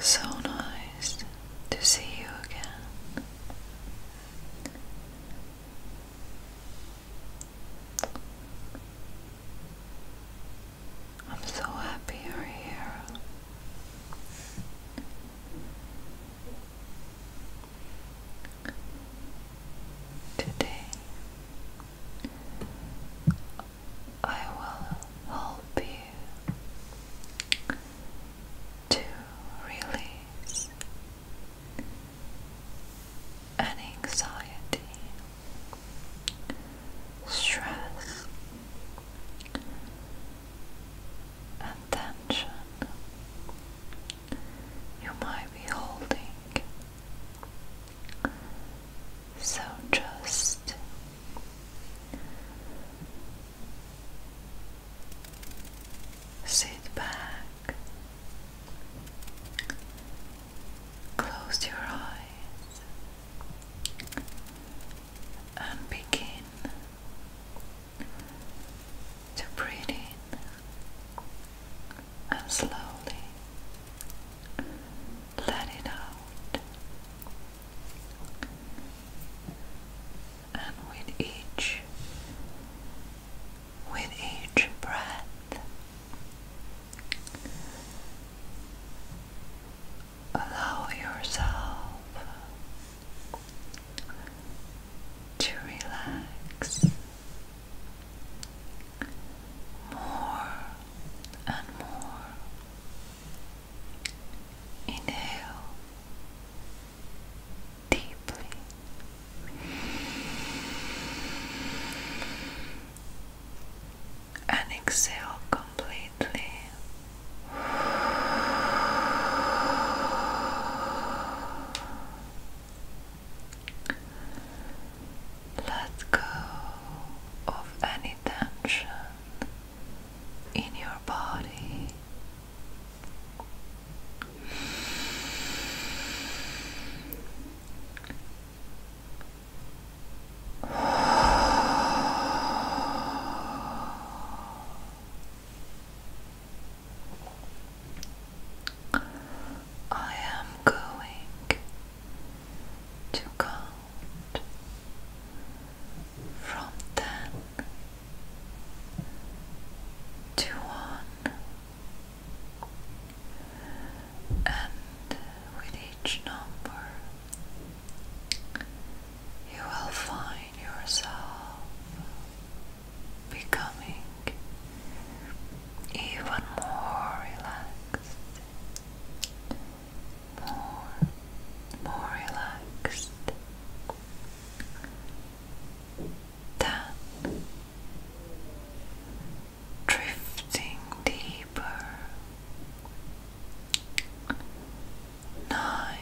So nice to see you again. I'm so happy you're here. Today I will help you to release an anxiety, stress, and tension you might be holding so just sit back, close your eyes, and begin to breathe in and slowly let it out. And with each with each breath allow yourself to relax more and more. Inhale deeply. And exhale completely. Let go of any tension in your body. I am going to count from ten to one, and with each number, you will find yourself becoming even more relaxed, more, more relaxed. Then drifting deeper. Nine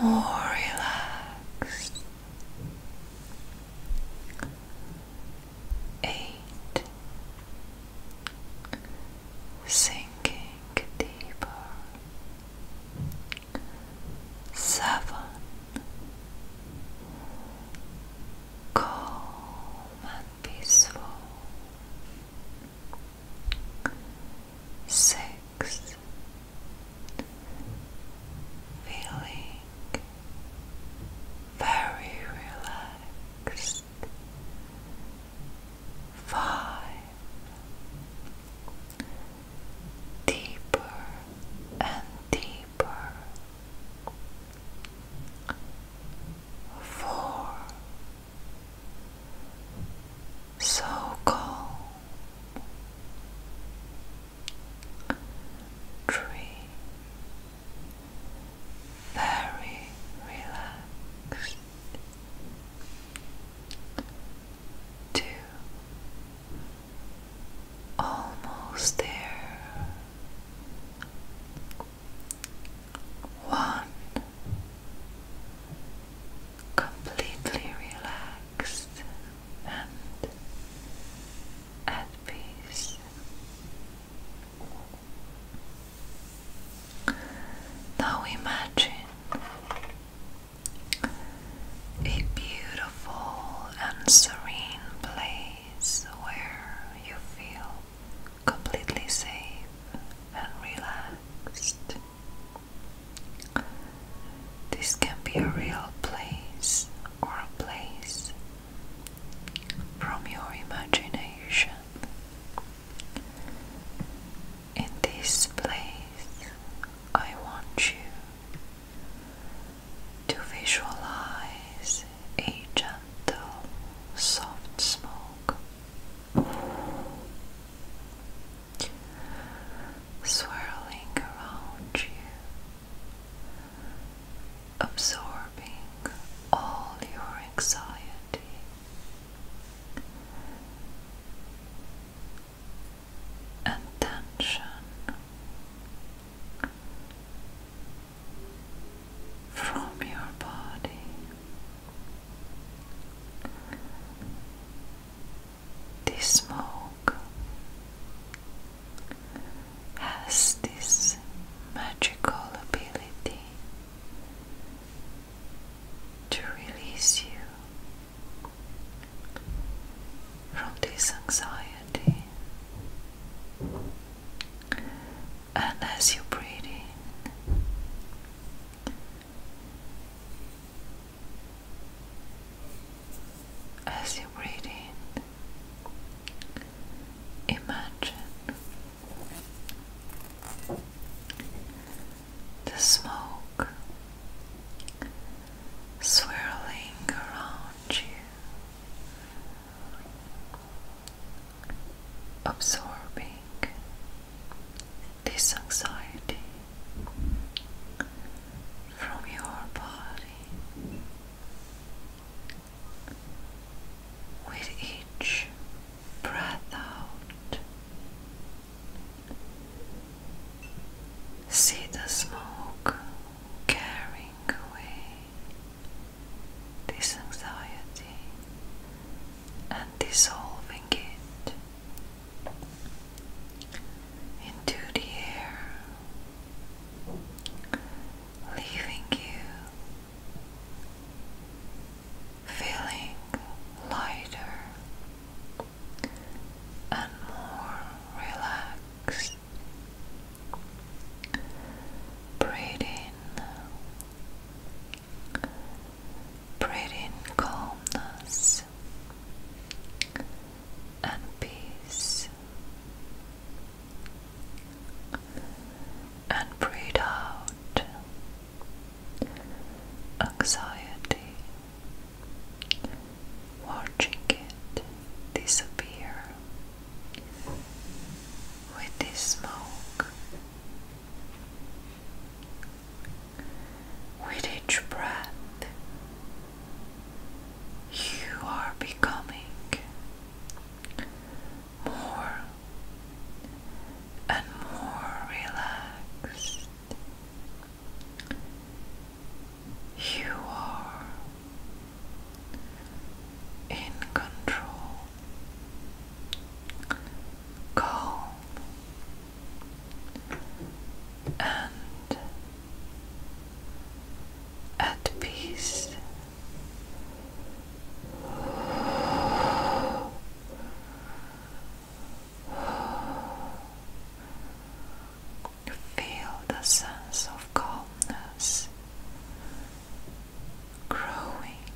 more relaxed. Eight, sinking deeper. Seven, calm and peaceful. Six feeling very relaxed. Five deeper and deeper. Four so calm, tree, very relaxed. Two, almost there. One, completely relaxed and at peace. Now imagine a beautiful and serene place where you feel completely safe and relaxed. This can be a real place or a place from your imagination. In this place, I want you to visualize a gentle, soft smoke swirling around you, absorbing all your anxiety. And from your body this smoke has this magical ability to release you from this anxiety and as you breathe in, as you breathe in, imagine the smoke swirling around you absorbing this anxiety from your body with each breath out. See the smoke carrying away this anxiety and dissolving it into the air, leaving you feeling lighter and more relaxed. Breathe in, breathe in calmness and peace, and breathe out anxiety, watching it disappear with this smoke. With each breath, you are becoming more and more relaxed. You are in control, calm, and at peace. Feel the sense of calmness growing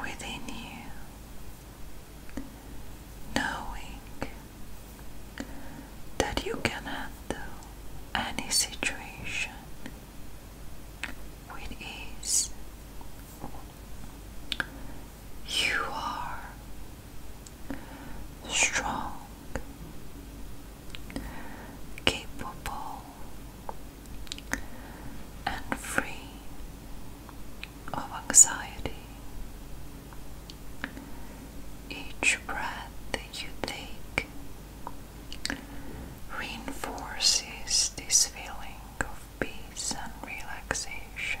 within you, knowing that you can handle any situation with ease. You are strong, capable, and free of anxiety. Each breath that you take reinforces this feeling of peace and relaxation.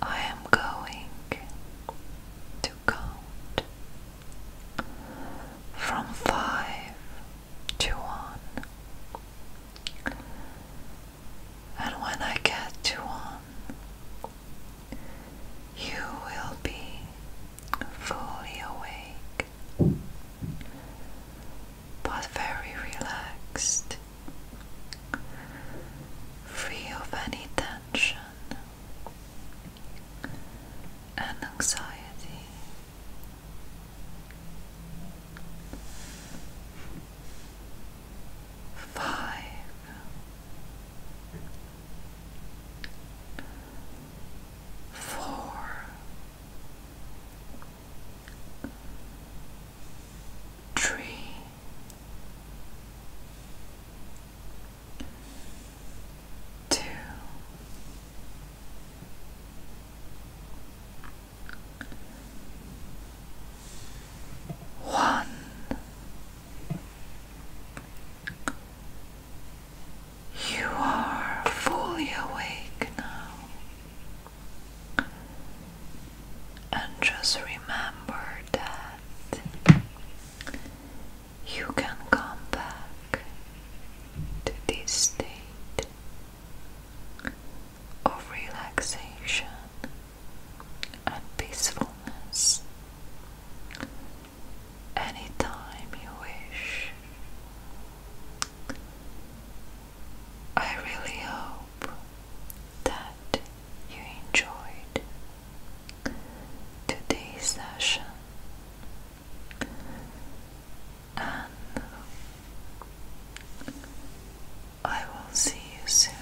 I am going to count from five to one, and when I get to one, you will be fully awake but very relaxed free of any tension and anxiety. Five. Four, tree. You are fully awake now. And just remember that you can come back to this state of relaxation and peacefulness anytime you wish. I really hope that you enjoyed today's session and I will see you soon.